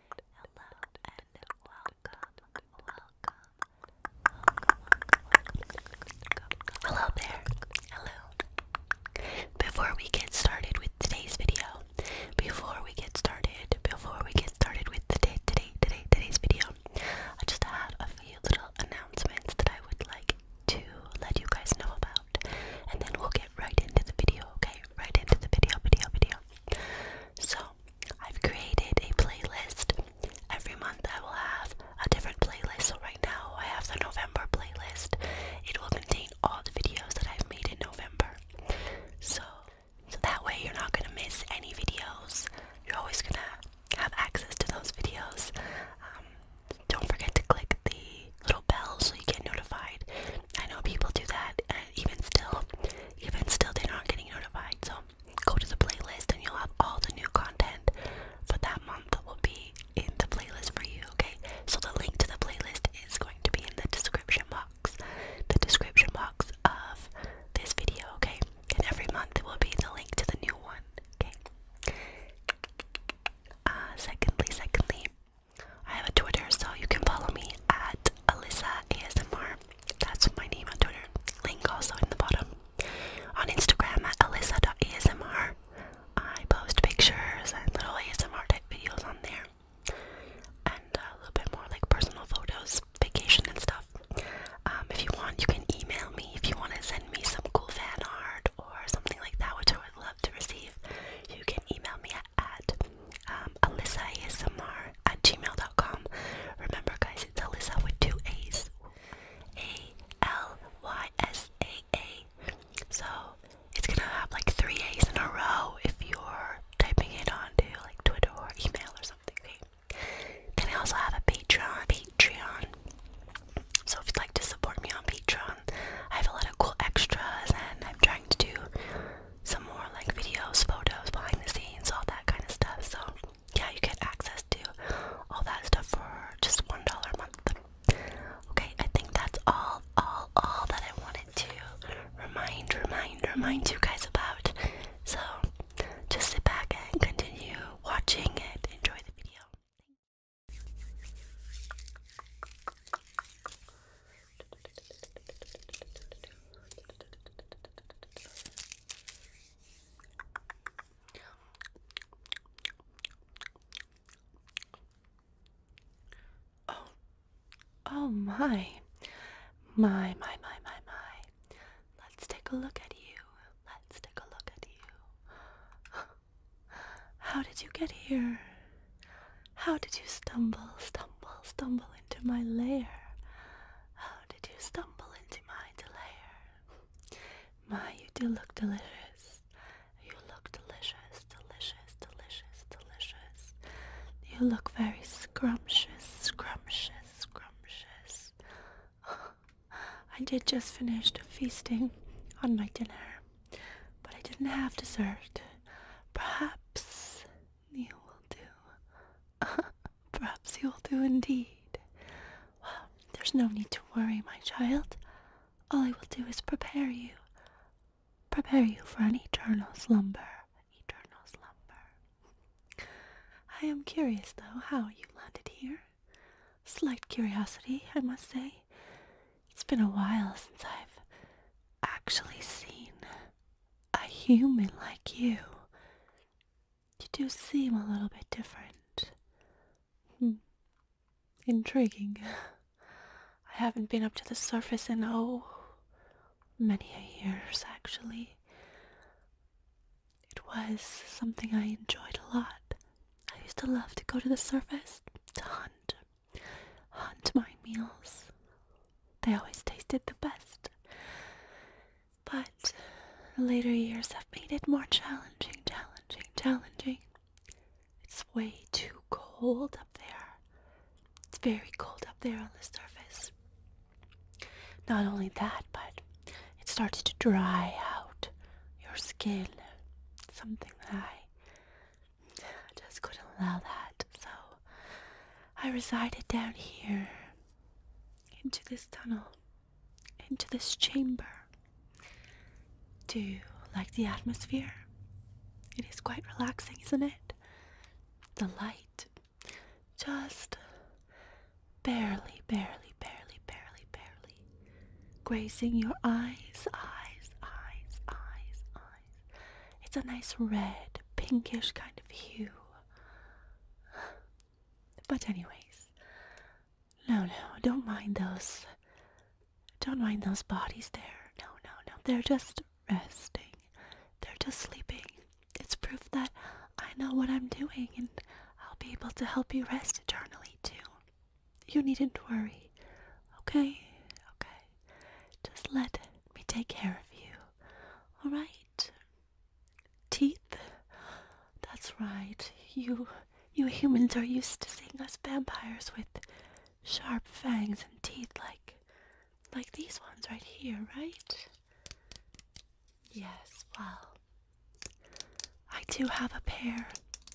Hello and welcome, welcome, welcome, welcome. Hello there. Hello. Before we get started with today's video, before we get started, before we get started with today, today, today, today's video, I just had a few little announcements that I would like to let you guys know about, and then we'll get right into the video. Okay, right into the video, video, video. So, I've created a playlist. Every month I will have a different playlist. So, right now I have the November playlist. It will contain all the videos that I've made in November. So, that way you're not going to miss any videos. You're always going to have access to those videos. Um, don't forget to click the little bell so you get notified. I know people do that even still, even still, they're not getting notified. So go to the playlist, and you'll have all the new content for that month that will be in the playlist for you. Okay, so the link to the playlist is going to be in the description box, the description box of this video. Okay, and every month it will be the link to the new one. Okay. Uh, secondly, secondly. I have a Twitter, so you can follow me at Alyssa ASMR. That's my name on Twitter. Link also in the bottom. On Instagram at alyssa.asmr. I post pictures and little ASMR type videos on there. And a little bit more like personal photos, vacation and stuff. Um, if you want, you can email me if you want to send me some cool fan art or something like that, which I would love to receive. You can email me at um, AlyssaASMR at gmail.com. Remember, guys, it's Alyssa with two A's. A L Y S A A. So it's gonna have like three A's in a row if you're typing it onto like Twitter or email or something. Okay? Then I also have a Patreon. Patreon. So if you'd like to support me on Patreon, I have a lot of cool extras and I'm trying to do some more like videos, photos, behind the scenes, all that kind of stuff. So yeah, you get access to all that stuff for just one dollar a month. Okay, I think that's all, all, all that I wanted to remind, remind, remind you guys about. So just sit back and continue watching it. enjoy the video. Oh, oh my, my, my, my, my, my. Let's take a look at you. Let's take a look at you. How did you get here? How did you stumble, stumble, stumble into my lair? did you stumble into my lair? My, you do look delicious. You look delicious, delicious, delicious, delicious. You look very scrumptious, scrumptious, scrumptious. I did just finish feasting on my dinner, but I didn't have dessert. Perhaps you will do. Perhaps you will do indeed. Well, there's no need to worry, my child. All I will do is prepare you. Prepare you for an eternal slumber. Eternal slumber. I am curious, though, how you landed here. Slight curiosity, I must say. It's been a while since I've actually seen a human like you, you do seem a little bit different. Hmm. Intriguing. I haven't been up to the surface in oh, many years actually. It was something I enjoyed a lot. I used to love to go to the surface to hunt, hunt my meals, they always tasted the best. But later years have made it more challenging, challenging, challenging. It's way too cold up there. It's very cold up there on the surface. Not only that, but it starts to dry out your skin. Something that I just couldn't allow that. So I resided down here into this tunnel, into this chamber, Do you like the atmosphere. It is quite relaxing, isn't it? The light just barely, barely, barely, barely, barely grazing your eyes, eyes, eyes, eyes, eyes. It's a nice red, pinkish kind of hue. But, anyways, no, no, don't mind those. Don't mind those bodies there. No, no, no. They're just resting. They're just sleeping. It's proof that I know what I'm doing and I'll be able to help you rest eternally, too. You needn't worry. Okay? Okay. Just let me take care of you. Alright? Teeth? That's right. You you humans are used to seeing us vampires with sharp fangs and teeth like like these ones right here, right? Yes, well. I do have a pair.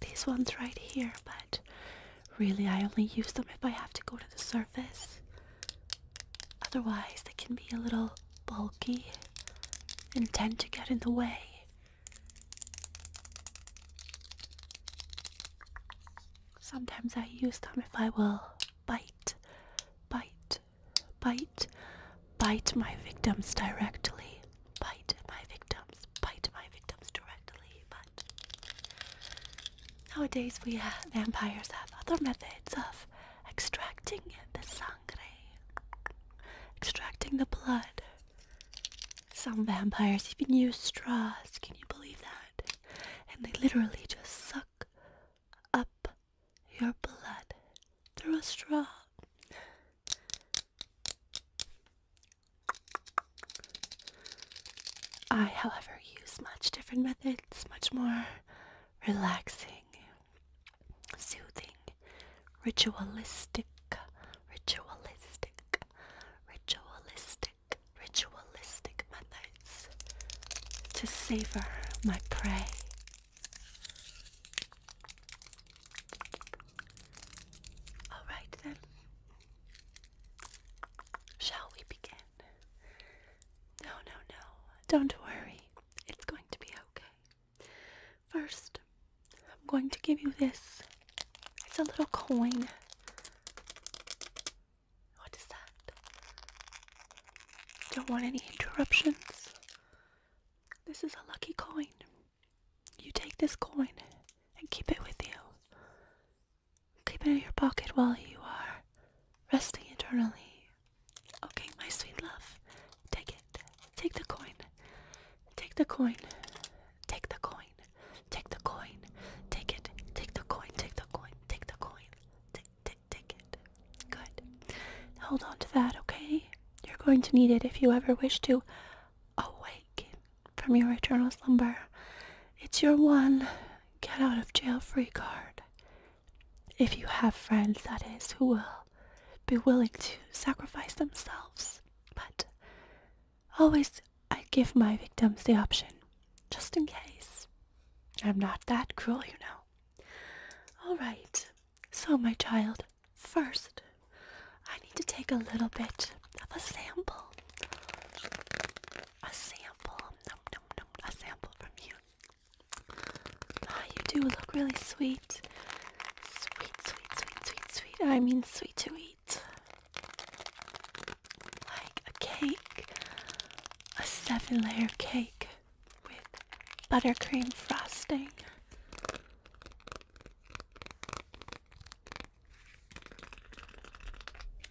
These ones right here, but really I only use them if I have to go to the surface. Otherwise, they can be a little bulky and tend to get in the way. Sometimes I use them if I will bite, bite, bite, bite my victims directly. Bite my victims, bite my victims directly. But nowadays, we vampires have other methods of extracting the sangre, extracting the blood. Some vampires even use straws, can you believe that? And they literally just suck up your blood through a straw. I, however, use much different methods, much more relaxing, soothing, ritualistic, ritualistic, ritualistic, ritualistic methods to savor my prey. Alright then, shall we begin? No, no, no, don't worry. It's going to be okay. First, I'm going to give you this. It's a little coin. What is that? Don't want any interruptions. This is a lucky coin. You take this coin and keep it with you. Keep it in your pocket while you are resting eternally Okay, my sweet love. Take it. Take the coin. Take the coin. Take the coin. Take the coin. Take it. Take the coin. Take the coin. Take the coin. Take take take it. Good. Hold on to that, okay? You're going to need it if you ever wish to awake from your eternal slumber. It's your one get out of jail free card if you have friends, that is, who will be willing to sacrifice themselves. But always, I give my victims the option, just in case. I'm not that cruel, you know. All right, so my child, first, I need to take a little bit of a sample. A sample, num, num, num, a sample from you. Ah, you do look really sweet. Sweet, sweet, sweet, sweet, sweet. I mean, sweet to eat. Like a cake. A seven layer cake with buttercream frosting.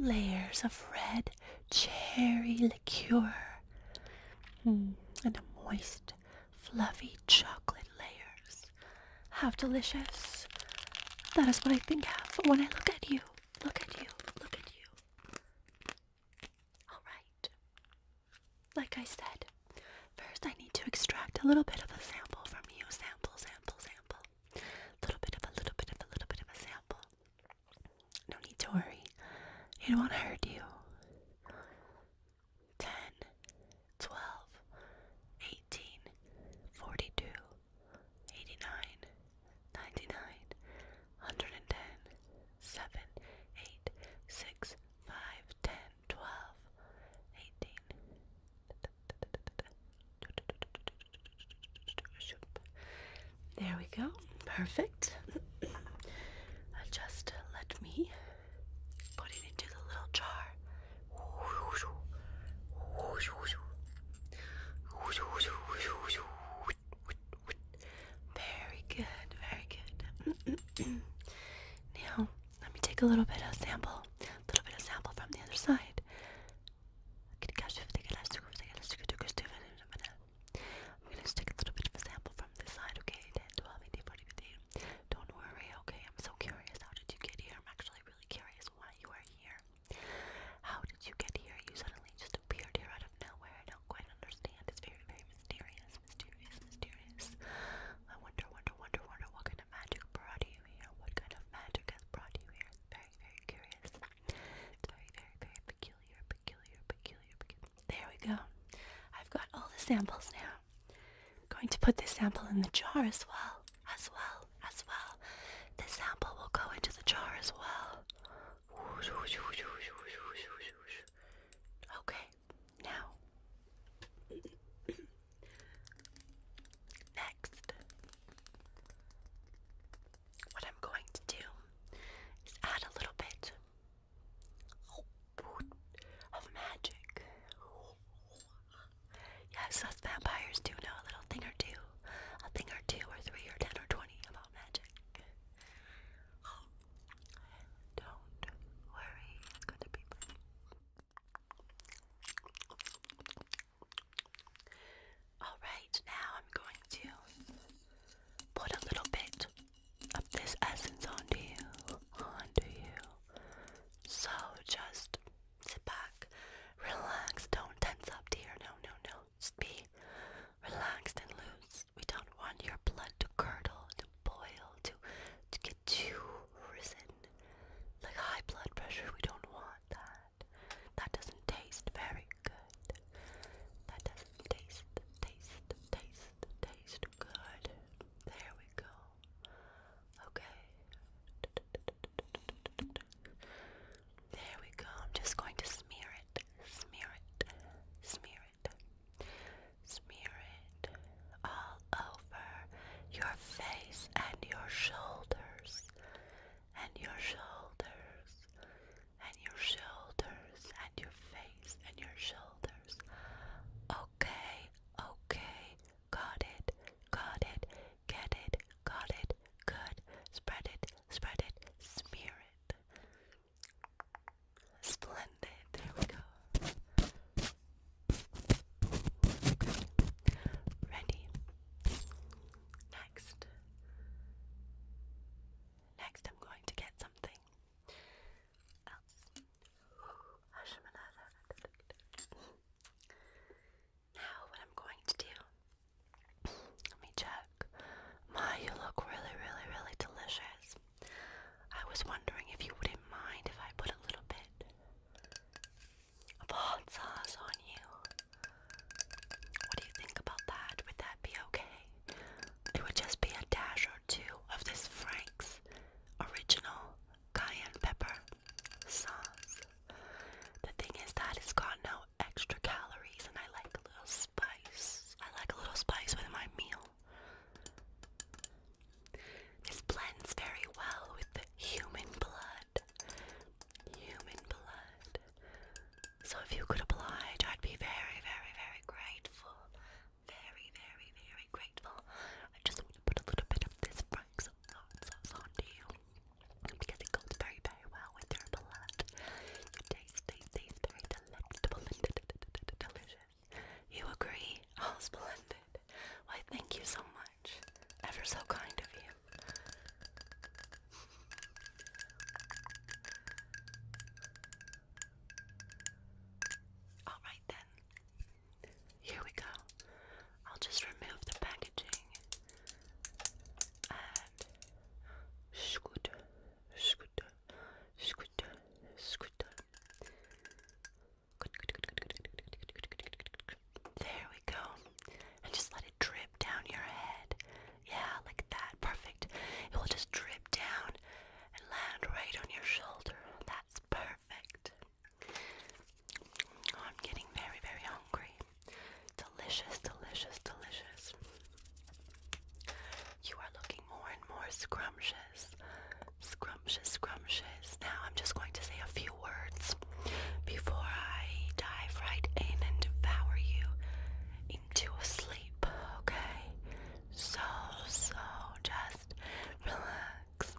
Layers of red cherry liqueur hmm, and a moist, fluffy chocolate layers. How delicious! That is what I think of when I look at you. Look at you. Look at you. Alright. Like I said, first I need to extract a little bit of a sample from you. Sample, sample, sample. Little bit of a little bit of a little bit of a sample. No need to worry. It won't hurt you. Ten, twelve, eighteen, forty-two, eighty-nine, ninety-nine, hundred and ten, seven, eight, six, five, ten, twelve, eighteen. There we go. Perfect. Just let me put it into the little jar. Very good, very good. now, let me take a little bit of sample, a little bit of sample from the other side. I'm gonna just take a little bit of a sample from this side, okay? 10, Don't worry, okay? I'm so curious. How did you get here? I'm actually really curious why you are here. How did you get here? You suddenly just appeared here out of nowhere. I don't quite understand. It's very, very mysterious, mysterious, mysterious. I wonder, wonder, wonder, wonder what kind of magic brought you here. What kind of magic has brought you here? It's very, very curious. It's very, very, very, peculiar, peculiar, peculiar, There we go. I've got all the samples now. going to put this sample in the jar as well, as well, as well. This sample will go into the jar as well. Okay, now. Next, what I'm going to do is add a little bit of magic. Yes, us vampires do know a little thing or two, a thing or two, or three, or ten, or twenty about magic. Don't worry, it's going Alright, now I'm going to put a little bit of this essence onto you, onto you. So just sit back, relax, don't tense up, dear. No, no, no. Just be relaxed and loose. We don't want your blood to curdle, to boil, to to get too risen. Like high blood pressure, we don't want that. That doesn't taste very good. Let them taste, taste, taste, taste good. There we go. Okay. There we go. I'm just going to smear it, smear it, smear it, smear it all over your face and your shoulders and your shoulders and your shoulders and your face and your shoulders. Okay, okay, got it, got it, get it, got it, good. Spread it, spread it, smear it. Splendid, there we go. Ready. Next. Next, I'm going to get some Now, what I'm going to do, let me check. My, you look really, really, really delicious. I was wondering if you wouldn't mind if I put a little bit of hot sauce on you. What do you think about that? Would that be okay? it would just be a dash or two of this Frank's original cayenne pepper sauce. The thing is that it's got no extra calories, and I like a little spice. I like a little spice with my meal. This blends very well with the human blood. Human blood. So if you could oblige, I'd be very, very, very grateful. Very, very, very grateful. I just want to put a little bit of this Frank's sauce so onto you because it goes very, very well with your blood. It tastes, tastes, tastes very delectable and d -d -d -d -d delicious. You agree? Oh, splendid. Why, thank you so much. Ever so kind of you. Alright then, here we go. I'll just remove the packaging and scoot, scoot, scoot, scoot. There we go. And just let it drip down your head yeah, like that. Perfect. It will just drip down and land right on your shoulder. That's perfect. Oh, I'm getting very, very hungry. Delicious, delicious, delicious. You are looking more and more scrumptious. Scrumptious, scrumptious. Now I'm just going to say a few words before I dive right in and devour you into a sleep sleep, okay? So, so just relax.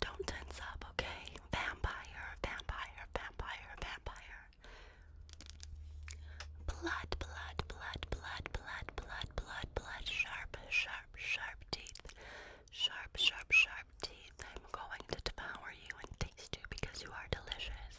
Don't tense up, okay? Vampire, vampire, vampire, vampire. Blood, blood, blood, blood, blood, blood, blood, blood. Sharp, sharp, sharp teeth. Sharp, sharp, sharp teeth. I'm going to devour you and taste you because you are delicious.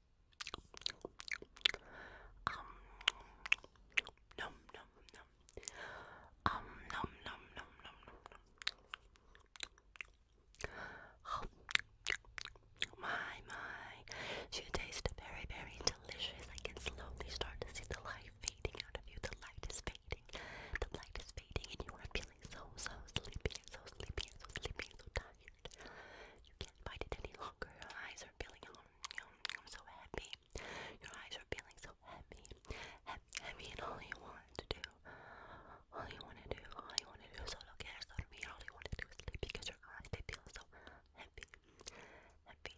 Um, nom nom nom. Um, nom nom nom nom nom nom. Oh, my, my. You taste very, very delicious. I can slowly start to see the light fading out of you. The light is fading. The light is fading, and you are feeling so, so sleepy, and so sleepy, and so sleepy, and so tired tired. You can't fight it any longer. Your eyes are feeling um, um, so happy. Your eyes are feeling so heavy. Heavy, heavy, and all you want to do, all you want to do, all you want to do is solo care, so to me, all you want to do is sleep because your eyes, they feel so heavy. Heavy.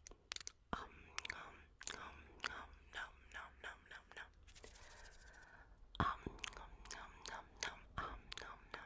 Um, um, um, um, num, num, num, num, num. um, num, num, num, um, num, num